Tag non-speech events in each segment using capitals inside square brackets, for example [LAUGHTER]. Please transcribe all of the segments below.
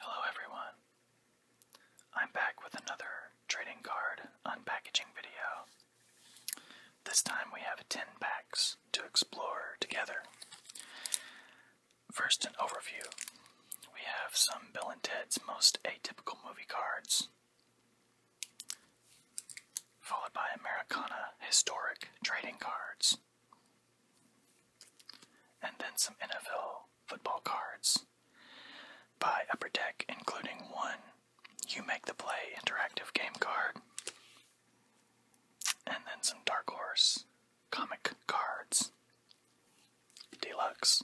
Hello everyone. I'm back with another trading card unpackaging video. This time we have 10 packs to explore together. First, an overview. We have some Bill and Ted's most atypical movie cards, followed by Americana historic trading cards. And then some NFL football cards by Upper Deck, including one You Make the Play interactive game card. And then some Dark Horse comic cards. Deluxe.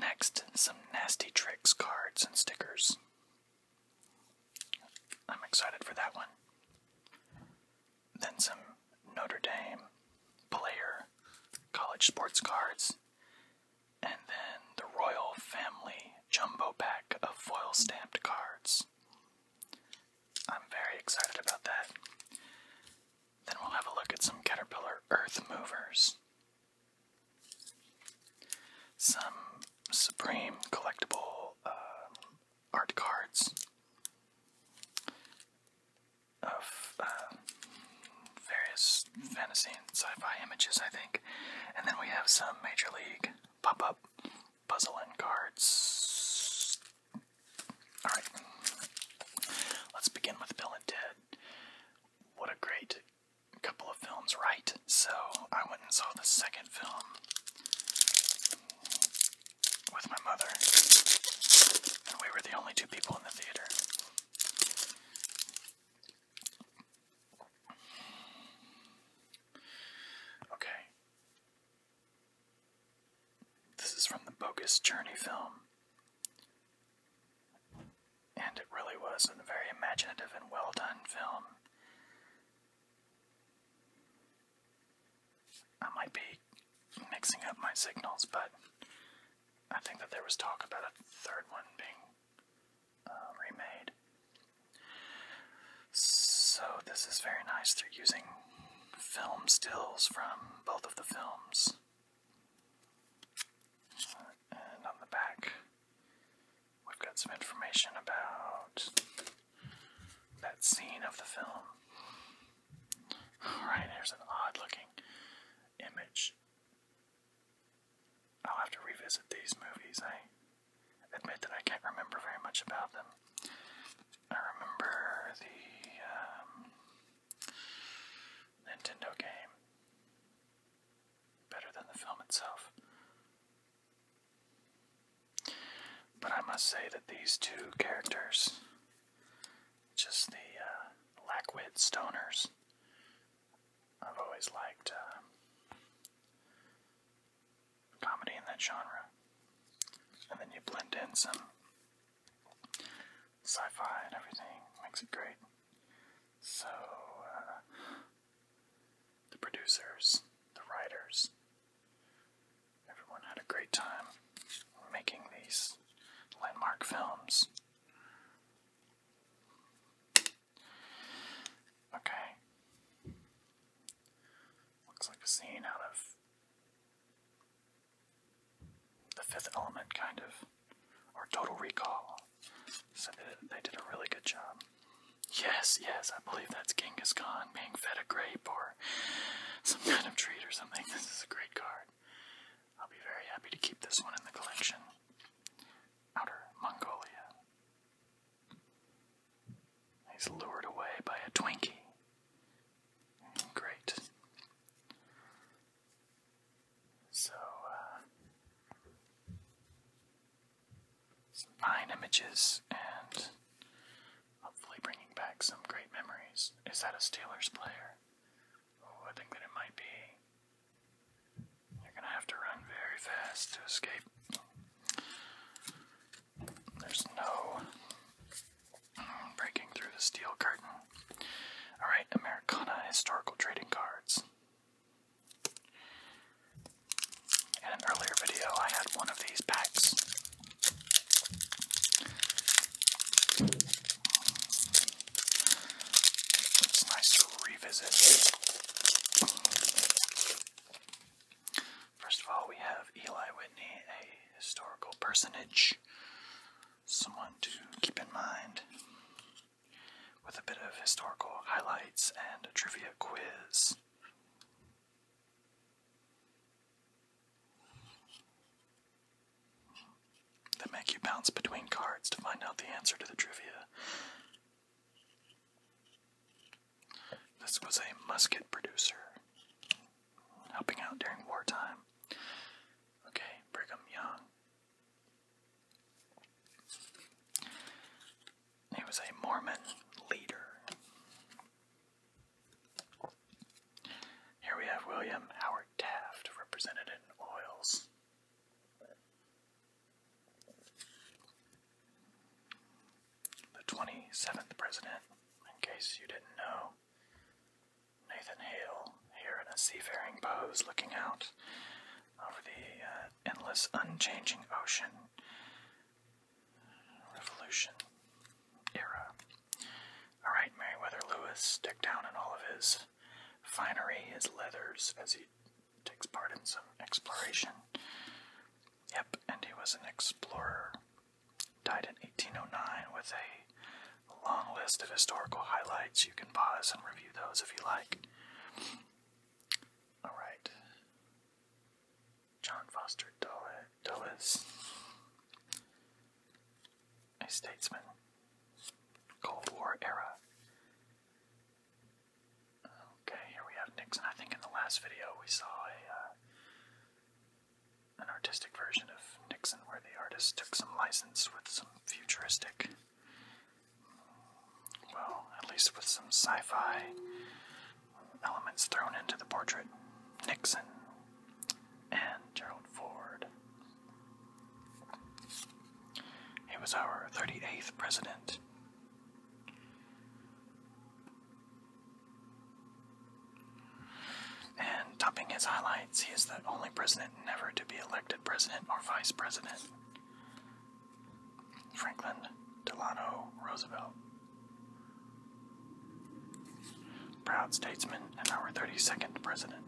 Next, some Nasty Tricks cards and stickers. I'm excited for that one then some Notre Dame player college sports cards, and then the Royal Family jumbo pack of foil stamped cards. I'm very excited about that. Then we'll have a look at some Caterpillar Earth Movers. Some Supreme collectible um, art cards of um, various fantasy and sci-fi images, I think. And then we have some Major League pop-up puzzling cards. Alright, let's begin with Bill and Ted. What a great couple of films, right? So I went and saw the second film with my mother, and we were the only two people in the theater. Okay. This is from the Bogus Journey film. And it really was a very imaginative and well done film. I might be mixing up my signals, but I think that there was talk about a third one being uh, remade. So, this is very nice. They're using film stills from both of the films. And on the back, we've got some information about that scene of the film. Alright, here's an odd looking image. I'll have to revisit these movies. I admit that I can't remember very much about them. I remember the um, Nintendo game better than the film itself. But I must say that these two characters, just the uh, lackwit stoners, I've always liked uh, comedy in that genre. And then you blend in some sci fi and everything, makes it great. So, uh, the producers, the writers, everyone had a great time making these landmark films. Okay. Looks like a scene out of the fifth element, kind of, or Total Recall. So they, did a really good job. Yes, yes, I believe that's Genghis Khan being fed a grape or some kind of treat or something. This is a great card. I'll be very happy to keep this one in the collection. Outer Mongolia. He's lured away by a Twinkie. Great. So, uh, some fine images and hopefully bringing back some great memories. Is that a Steelers player? Oh, I think that it might be. You're gonna have to run very fast to escape. There's no breaking through the steel curtain. Alright, Americana Historical Trading Cards. In an earlier video, I had one of these packs. It's nice to revisit. First of all, we have Eli Whitney, a historical personage, someone to keep in mind, with a bit of historical highlights and trivia quiz. They make you bounce between cards to find out the answer to the trivia. This was a musket producer helping out during wartime. Okay, Brigham Young. He was a Mormon leader. Here we have William Howard Taft, represented in oils. The 27th president, in case you didn't know, Nathan Hale, here in a seafaring pose, looking out over the uh, endless, unchanging ocean, Revolution era. Alright, Meriwether Lewis, stick down in all of his finery, his leathers, as he takes part in some exploration. Yep, and he was an explorer. Died in 1809 with a long list of historical highlights. You can pause and review those if you like. Alright. John Foster Dulles, a statesman, Cold War era. Okay, here we have Nixon. I think in the last video we saw a uh, an artistic version of Nixon where the artist took some license with some futuristic, well, at least with some sci-fi elements thrown into the portrait Nixon and Gerald Ford. He was our 38th president. And topping his highlights, he is the only president never to be elected president or vice president. Franklin Delano Roosevelt. Proud statesman and our 32nd president.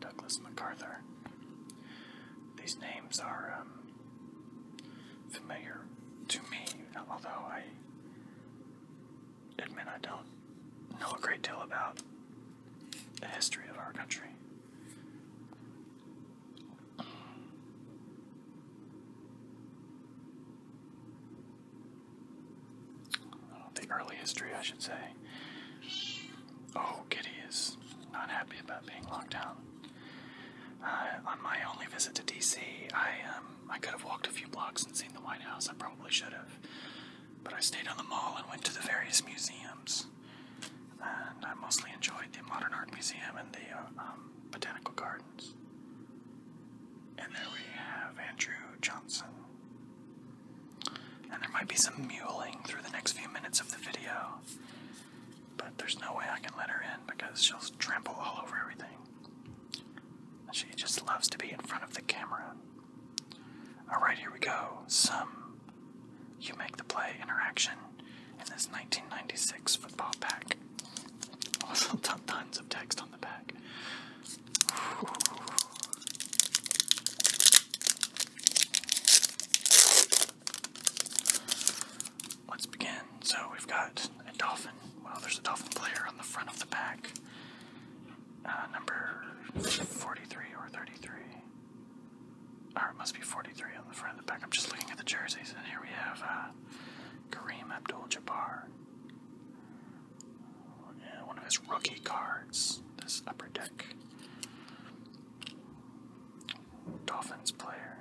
Douglas MacArthur. These names are um, familiar to me, although I admit I don't know a great deal about the history of our country. The early history, I should say. Oh, Kitty is not happy about being locked down. Uh, on my only visit to D.C., I um, I could have walked a few blocks and seen the White House. I probably should have, but I stayed on the mall and went to the various museums. And I mostly enjoyed the Modern Art Museum and the uh, um, Botanical Gardens. And there we have Andrew Johnson. And there might be some mewling through the next few minutes of the video, but there's no way I can let her in because she'll trample all over everything. She just loves to be in front of the camera. Alright, here we go. Some You Make the Play interaction in this 1996 football pack. Also, [LAUGHS] tons of text on the back. Let's begin. So, we've got a dolphin. Well, there's a dolphin player on the front of the pack. Uh, number 43 or 33 or it must be 43 on the front and the back. I'm just looking at the jerseys, and here we have uh, Kareem Abdul-Jabbar. Yeah, one of his rookie cards, this upper deck. Dolphins player.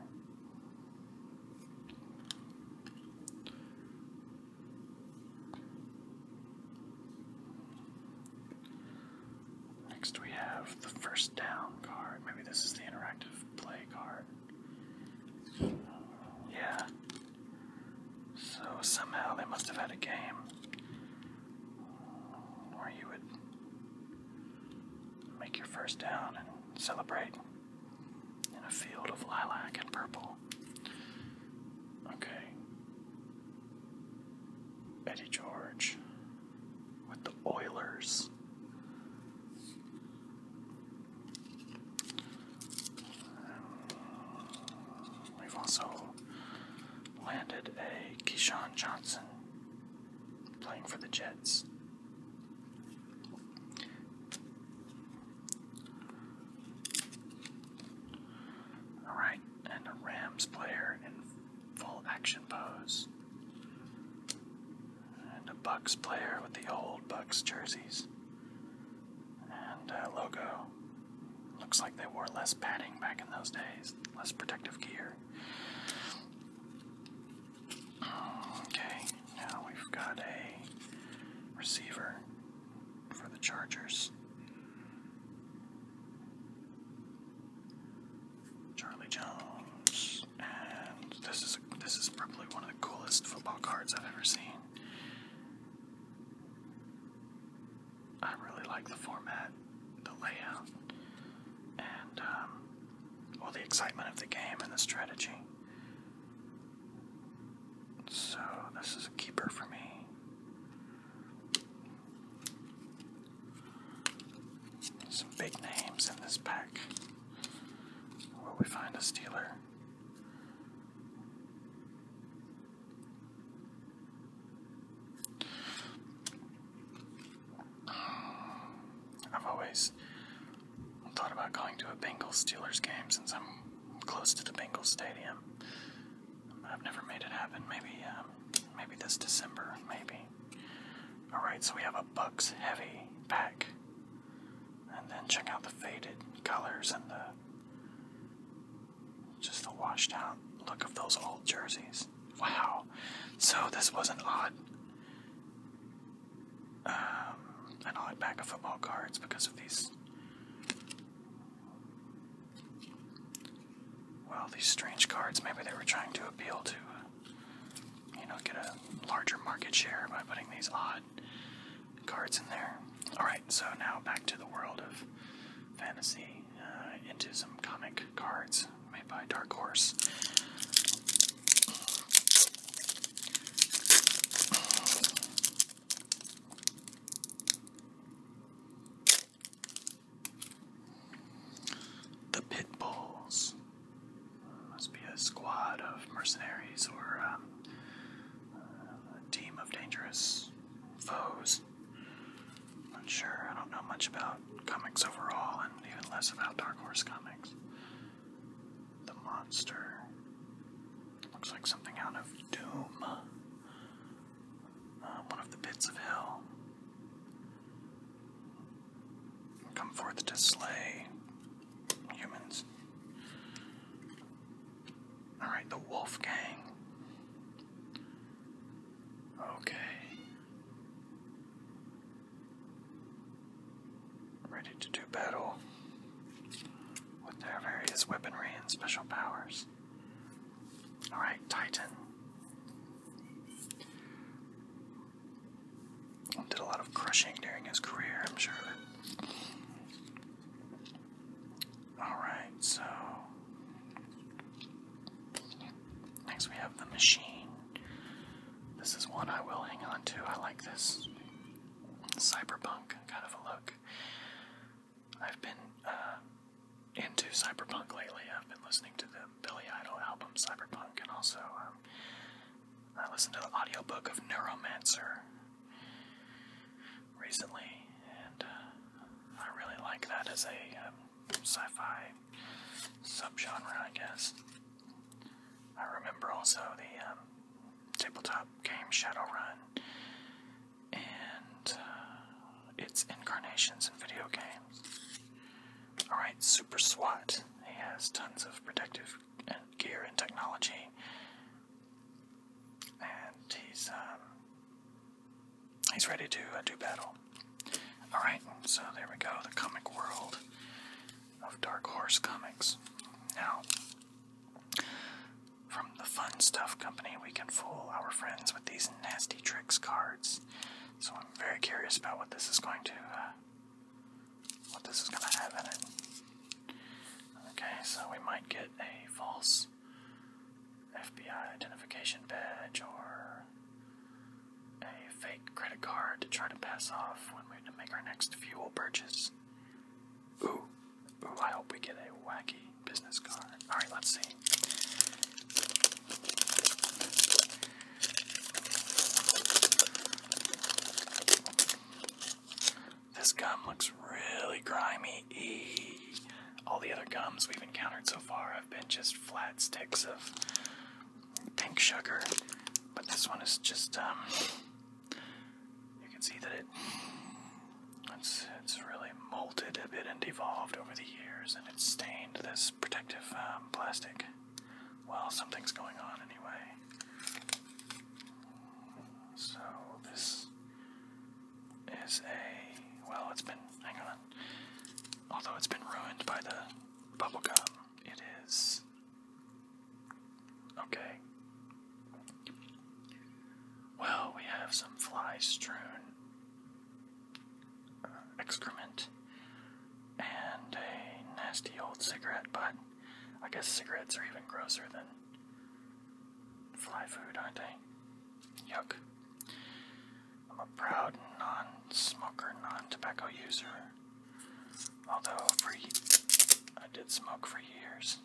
Next we have the first down card. Maybe this is the interactive play card. Yeah. So somehow they must have had a game where you would make your first down and celebrate in a field of lilac and purple. Okay. Eddie George with the Oilers. We've also landed a Keyshawn Johnson playing for the Jets. Alright, and a Rams player in full action pose and a Bucks player with the old Bucks jerseys and uh, logo. Looks like they wore less padding back in those days, less protective gear. Okay, now we've got a receiver for the Chargers. Charlie Jones and this is this is probably one of the coolest football cards I've ever seen. I really like the format, the layout, and all um, the excitement of the game and the strategy. So this is a keeper for me. Some big names in this pack. Where we find a Steeler? I've always thought about going to a Bengals Steelers game since I'm close to the Bengals Stadium. I've never made it happen. Maybe um, maybe this December, maybe. Alright, so we have a Bucks heavy pack. And then check out the faded colors and the just the washed out look of those old jerseys. Wow. So this was an odd um, an odd pack of football cards because of these well, these strange cards, maybe they were trying to appeal to uh, you know, get a larger market share by putting these odd cards in there. Alright, so now back to the world of fantasy, uh, into some comic cards made by Dark Horse. The Pit Bulls. Must be a squad of mercenaries or um, a team of dangerous foes. i Not sure. I don't know much about comics overall, and even less about Dark Horse comics. The monster looks like something out of Doom. Uh, one of the pits of hell come forth to slay humans. Alright, the wolf gang. Okay. Ready to do battle with their various weaponry and special powers. Alright, Titan. Did a lot of crushing during his career, I'm sure of Alright, so. Next we have The Machine. This is one I will hang on to. I like this. Cyberpunk kind of a look. I've been uh, into cyberpunk lately. I've been listening to them. Billy Idol album Cyberpunk, and also um, I listened to the audiobook of Neuromancer recently, and uh, I really like that as a um, sci-fi subgenre, I guess. I remember also the um, tabletop game Shadowrun, and uh, its incarnations in video games. Alright, Super SWAT. He has tons of protective gear and technology. And he's, um, he's ready to uh, do battle. Alright, so there we go, the comic world of Dark Horse Comics. Now, from the Fun Stuff Company, we can fool our friends with these nasty tricks cards. So I'm very curious about what this is going to, uh, what this is going to have in it. Okay, so we might get a false FBI identification badge or a fake credit card to try to pass off when we make our next fuel purchase. Ooh, ooh, I hope we get a wacky business card. Alright, let's see. This gum looks really grimy. All the other gums we've encountered so far have been just flat sticks of pink sugar, but this one is just um, You can see that it it's really molted a bit and evolved over the years, and it's stained this protective uh, um, plastic. Well, something's going on anyway. So this is a well. It's been hang on. Although it's been ruined by the bubblegum, it is okay. Well, we have some flies strewn uh, excrement and a nasty old cigarette butt. I guess cigarettes are even grosser than fly food, aren't they? Yuck. I'm a proud non smoker, non tobacco user. Although for, I did smoke for years.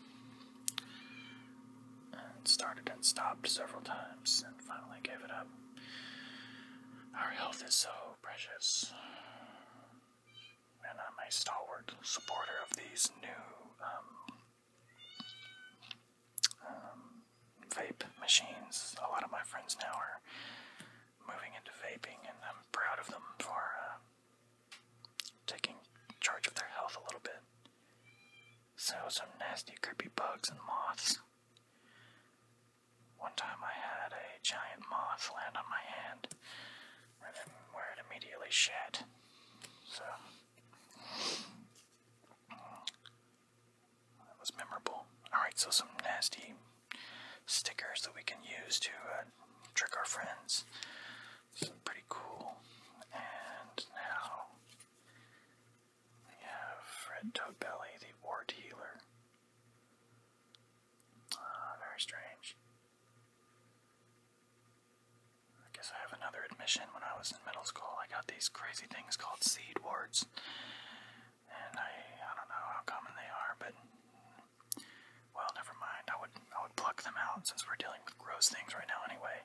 And started and stopped several times and finally gave it up. Our health is so precious. And I'm a stalwart supporter of these new um, um, vape machines. A lot of my friends now are moving into vaping, and I'm proud of them for uh, taking charge of their health a little bit. So, some nasty, creepy bugs and moths. One time I had a giant moth land on my hand where it immediately shed. So, that was memorable. Alright, so some nasty stickers that we can use to uh, trick our friends. Some pretty cool. And now we have Fred Toadbelly, the Ward Healer. Ah, very strange. I guess I have another admission. When I was in middle school, I got these crazy things called seed wards. And I, I don't know how common they are, but well, never mind. I would I would pluck them out since we're dealing with gross things right now anyway.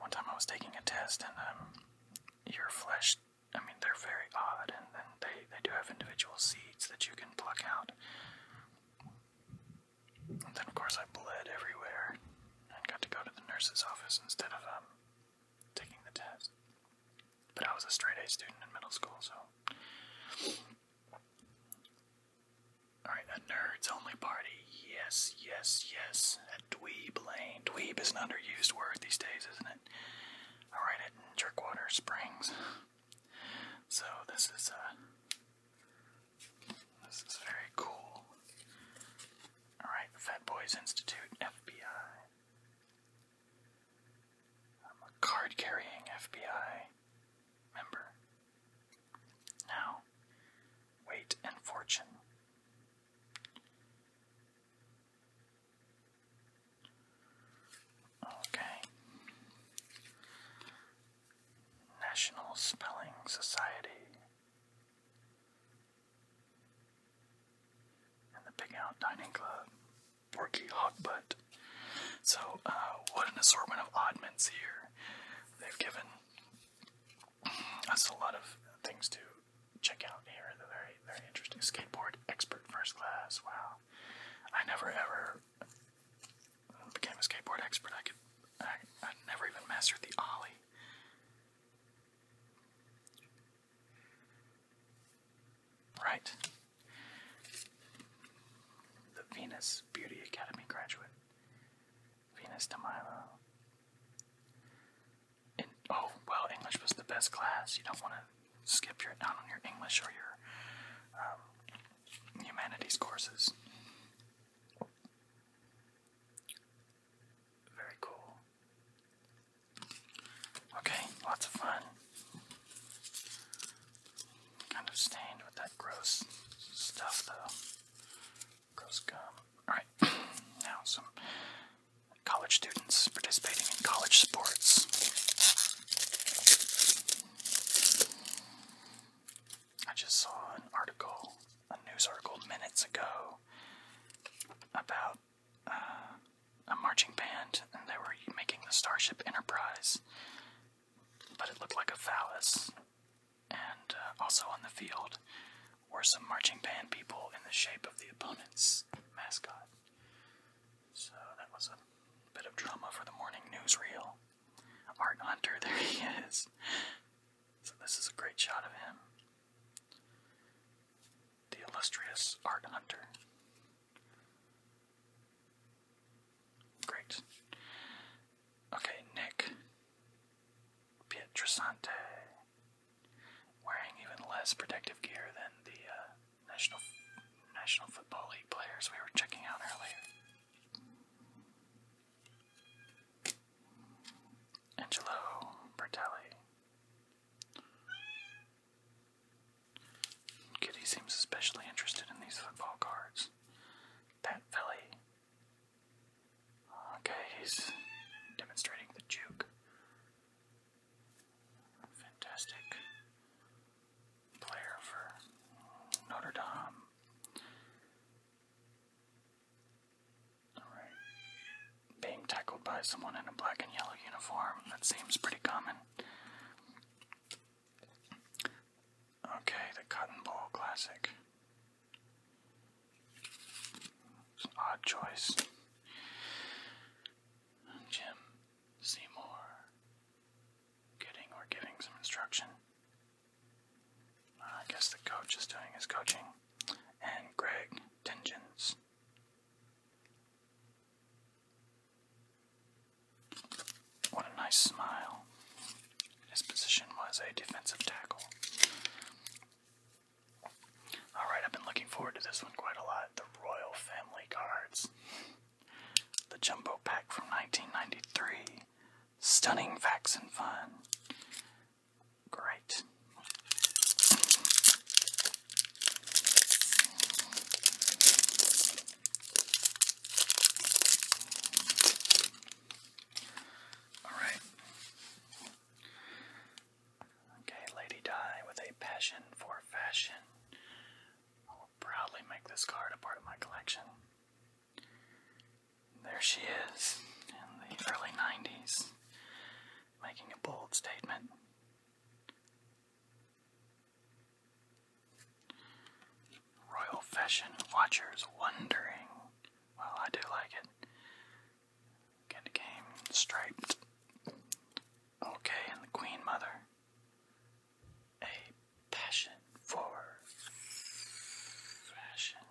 One time I was taking a test and um, your flesh I mean, they're very odd, and then they, they do have individual seeds that you can pluck out. And then, of course, I bled everywhere and got to go to the nurse's office instead of um, taking the test. But I was a straight A student in middle school, so. Alright, a nerds only party. Yes, yes, yes. Dweeb Lane. Dweeb is an underused word these days, isn't it? All right, write it in Jerkwater Springs. So this is a uh, this is very cool. Alright, Fat Boys Institute, FBI. I'm a card carrying FBI member. Now, weight and fortune. Okay. National Spelling Society. And the Big Out Dining Club. Porky Hogbutt. So, uh, what an assortment of oddments here. They've given us a lot of things to check out here. The very, very interesting skateboard expert first class. Wow, I never ever became a skateboard expert. I could, I, I never even mastered the ollie. Right. The Venus Beauty Academy graduate, Venus DeMilo oh well, English was the best class. You don't want to skip your out on your English or your um, humanities courses. Very cool. Okay, lots of fun. Kind of stained with that gross stuff though. Gross gum. Alright, now some college students participating in college sports. I just saw an article, a news article minutes ago, about uh, a marching band, and they were making the Starship Enterprise, but it looked like a phallus. And uh, also on the field or some marching band people in the shape of the opponent's mascot. So that was a bit of drama for the morning newsreel. Art Hunter, [LAUGHS] there he is. So this is a great shot of him. The illustrious Art Hunter. Great. Okay, Nick Pietrasante wearing even less protective gear than the uh, National National Football League players we were checking out earlier. Angelo Bertelli. Kitty seems especially interested in these football cards. Pat Philly Okay, he's demonstrating the juke. Fantastic player for Notre Dame. Alright. Being tackled by someone in a black and yellow uniform, that seems pretty common. Okay, the Cotton Bowl Classic. It's an odd choice. Jim Seymour getting or giving some instruction. I guess the coach is doing his coaching. And Greg Tengens. What a nice smile. His position was a defensive tackle. Alright, I've been looking forward to this one quite a lot. The Royal Family Cards. The Jumbo Pack from 1993. Stunning facts and fun. Great. Alright. Okay, Lady Di with a passion for fashion. I will proudly make this card a part of my collection. There she is in the early 90s, making a bold statement. Royal fashion watchers wondering. Well, I do like it. Good game. Striped. Okay, and the Queen Mother. A passion for fashion.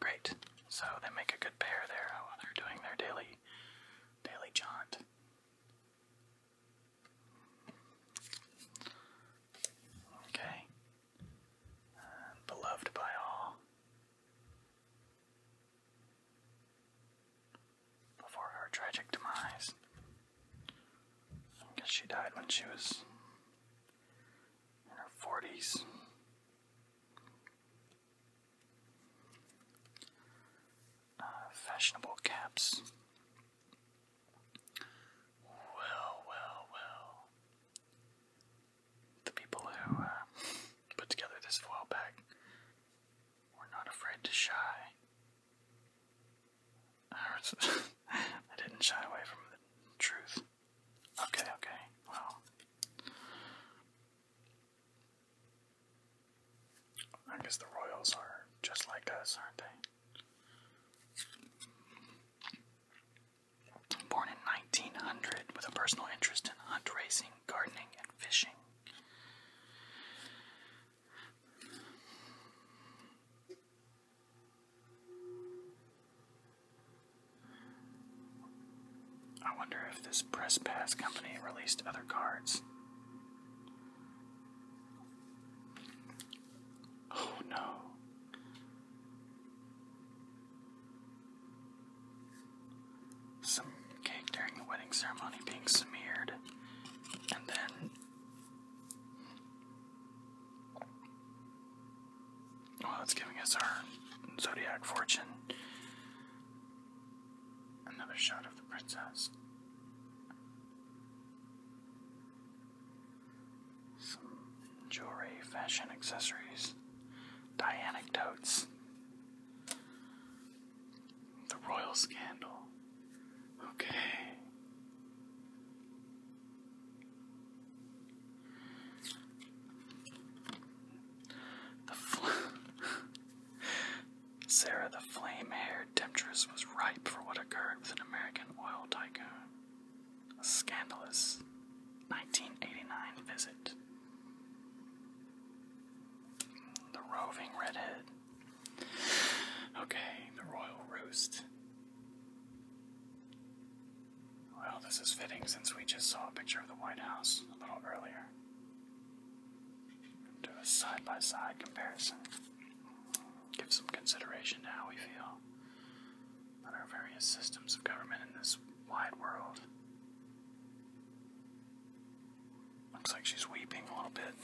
Great. So they make a good pair there while they're doing their daily daily jaunt. Okay beloved by all. Before her tragic demise, I guess she died when she was in her 40s. Uh, fashionable caps. Well, well, well the people who uh, put together this foil pack were not afraid to shy. [LAUGHS] I didn't shy away from the truth. Okay, okay, well. I guess the Royals are just like us, aren't they? Born in 1900 with a personal interest in hunt racing, gardening, and fishing. I wonder if this Press Pass company released other cards. Oh no some cake during the wedding ceremony being smeared, and then. Well, it's giving us our zodiac fortune. Another shot of the princess some jewelry, fashion accessories, dye anecdotes, the royal scandal. Okay. The [LAUGHS] Sarah the flame haired temptress was ripe for what occurred with an American oil tycoon. A scandalous 1989 visit. The roving redhead. Okay, the royal roost. Well, this is fitting since we just saw a picture of the White House a little earlier. Do a side by side comparison. Give some consideration to how we feel but our various systems of government in this wide world. Looks like she's weeping a little bit.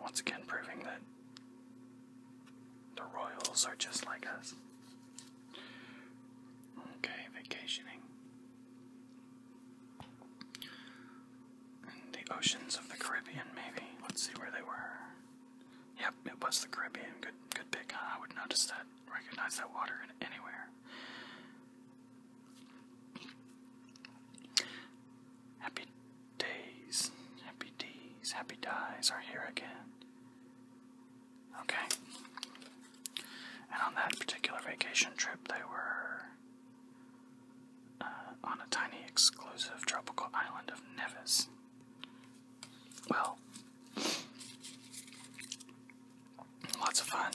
Once again, proving that the royals are just like us. Okay, vacationing. In the oceans of the Caribbean, maybe. Let's see where they were. Yep, it was the Caribbean. Good, good pick. I would notice that, recognize that water in anywhere. Happy days, happy days, happy dies are here again. Okay. And on that particular vacation trip, they were uh, on a tiny, exclusive tropical island of Nevis. Well, lots of fun.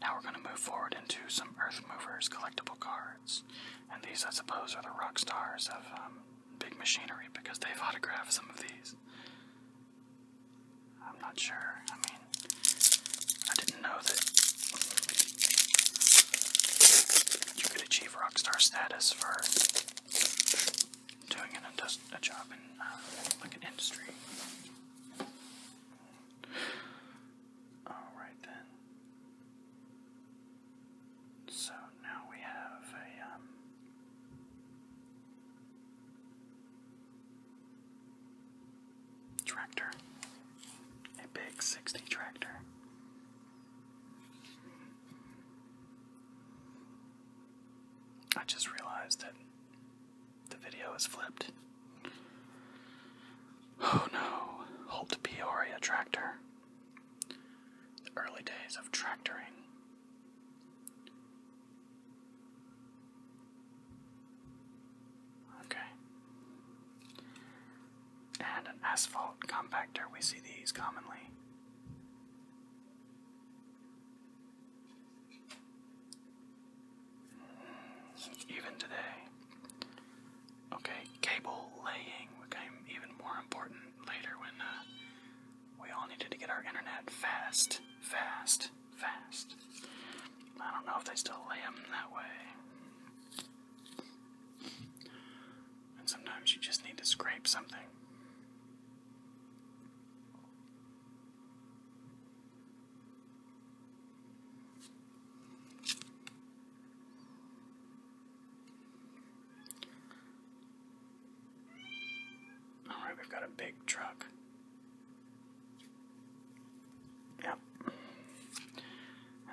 Now we're going to move forward into some Earth Movers collectible cards. And these, I suppose, are the rock stars of um, Big Machinery because they've autographed some of these. I'm not sure. I mean, I didn't know that you could achieve rock star status for doing a job in uh, like an industry. All right then. So now we have a um, Tractor. A big 60 tractor. I just realized that the video is flipped. Oh no, Holt Peoria Tractor. The early days of tractoring. Okay. And an asphalt compactor, we see these commonly. Even today. Okay, cable laying became even more important later when uh, we all needed to get our internet fast, fast, fast. I don't know if they still lay them that way. And sometimes you just need to scrape something. All right, we've got a big truck. Yep. And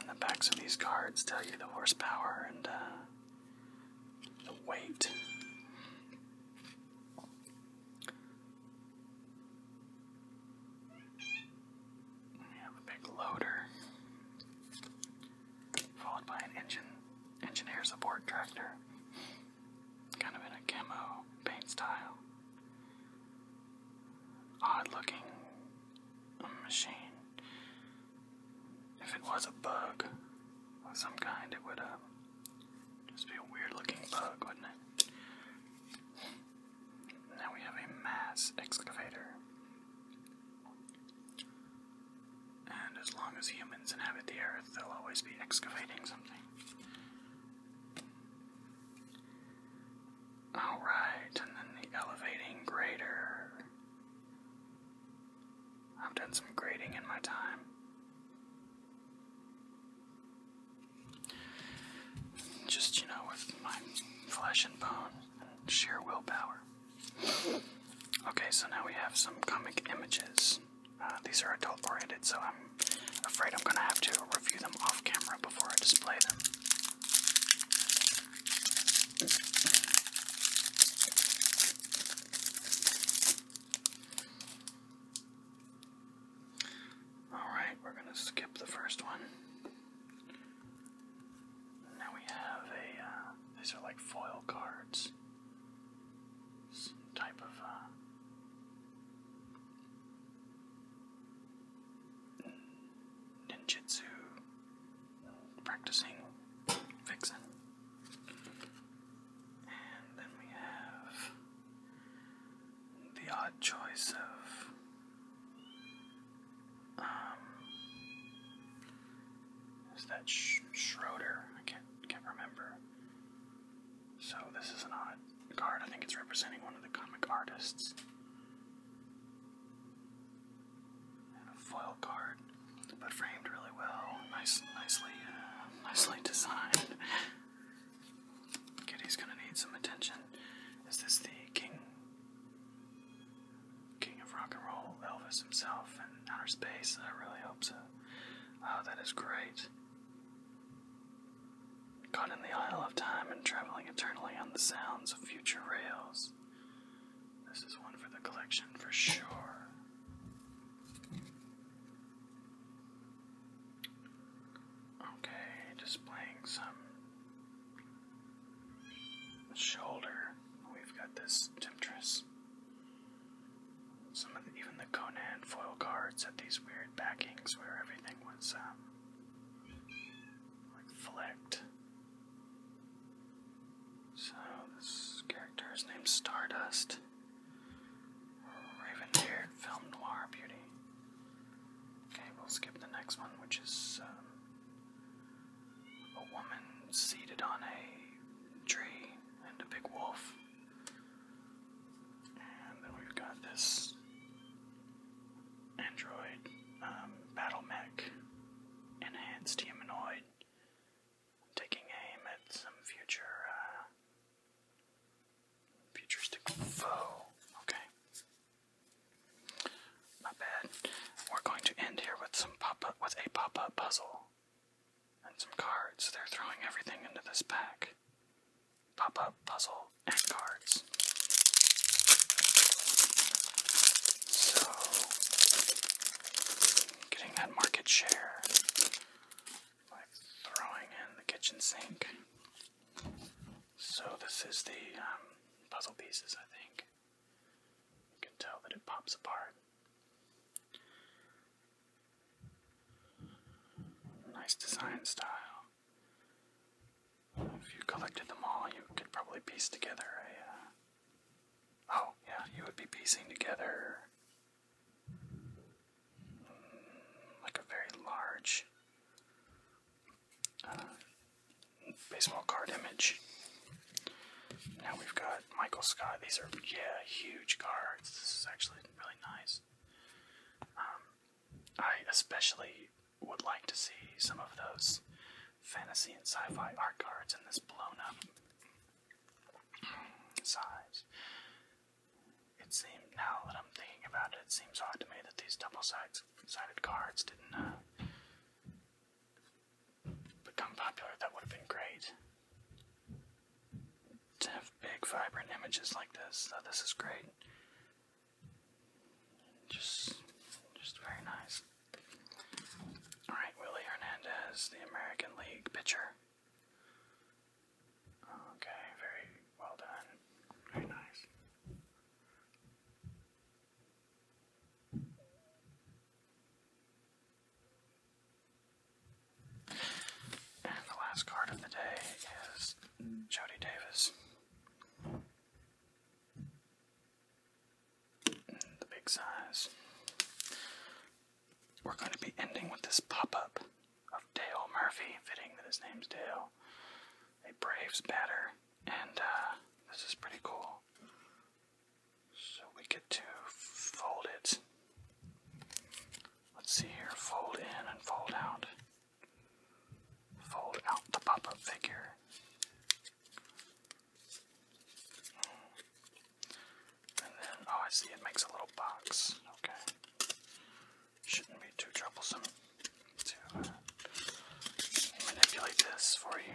the backs of these cards tell you the horsepower and uh, the weight. We have a big loader, followed by an engine engineer support tractor, kind of in a camo paint style. Odd looking machine if it was a bug of some kind, it would uh, just be a weird looking bug, wouldn't it? Now we have a mass excavator. And as long as humans inhabit the earth, they'll always be excavating something. Alright, and then the elevating grader. I've done some grading in my time. Just, you know, with my flesh and bone and sheer willpower. Okay, so now we have some comic images. Uh, these are adult oriented, so I'm afraid I'm going to have to review them off camera before I display them. Alright, we're going to skip the first one. Now we have a, uh, these are like foil cards. Some type of, uh, ninjutsu practicing vixen. And then we have the odd choice of. Um, is that Schroeder? I can't, can't remember. So, this is an odd card. I think it's representing one of the comic artists and a foil card, but framed really well, nice, nicely, uh, nicely designed. Kitty's gonna need some attention. Is this the king, king of rock and roll, Elvis himself, in outer space? I really hope so. Oh, that is great. Caught in the Isle of Time and traveling eternally on the sounds of future rails this. is one for the collection for sure. Okay, displaying some shoulder. We've got this temptress. Some of even the Conan foil cards had these weird backings where everything was um, like flicked. So this character is named Stardust. Raven Beard, film noir beauty. Okay, we'll skip the next one, which is um, a woman seated on a tree and a big wolf. And then we've got this android um, battle mech, enhanced humanoid taking aim at some future, uh, futuristic foe. Okay. Not bad. We're going to end here with some pop-up, with a pop-up puzzle, and some cards. They're throwing everything into this pack. Pop-up puzzle and cards. So Getting that market share by throwing in the kitchen sink. So, this is the um, puzzle pieces, I think. You can tell that it pops apart. Nice design style. If you collected them all, you could probably piece together a uh, Oh, yeah, you would be piecing together mm, like a very large uh, baseball card image. Now we've got Michael Scott. These are, yeah, huge cards. This is actually really nice. Um, I especially would like to see some of those fantasy and sci-fi art cards in this blown-up size. It seemed now that I'm thinking about it, it seems odd to me that these double-sided cards didn't uh, become popular. That would have been great to have big, vibrant images like this. this is great. Just, just very nice. Alright, Willie Hernandez, the American League pitcher. Okay, very well done. Very nice. And the last card of the day is Jody Davis the big size. We're going to be ending with this pop up of Dale Murphy, fitting that his name's Dale, a Braves batter, and uh, this is pretty cool. So we get to fold it. Let's see here fold in and fold out. Fold out the pop up figure. And then, oh, I see it makes a little box. Okay. Shouldn't be too troublesome to uh, manipulate this for you.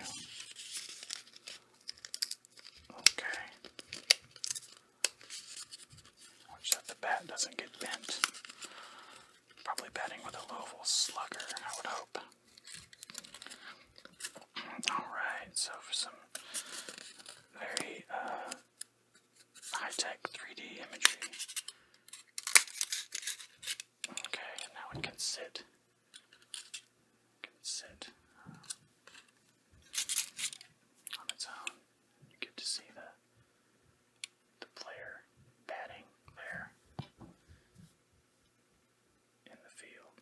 Okay. Watch that the bat doesn't get bent. Probably batting with a Louisville slugger, I would hope. Alright, so for some very uh, high tech 3D imagery. Okay, now it can sit. can sit uh, on its own. You get to see the the player batting there in the field.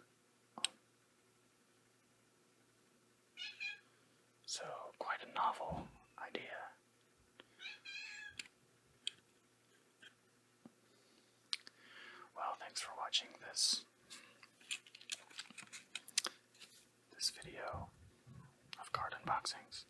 so, quite a novel idea. Well, thanks for watching this this video of card unboxings.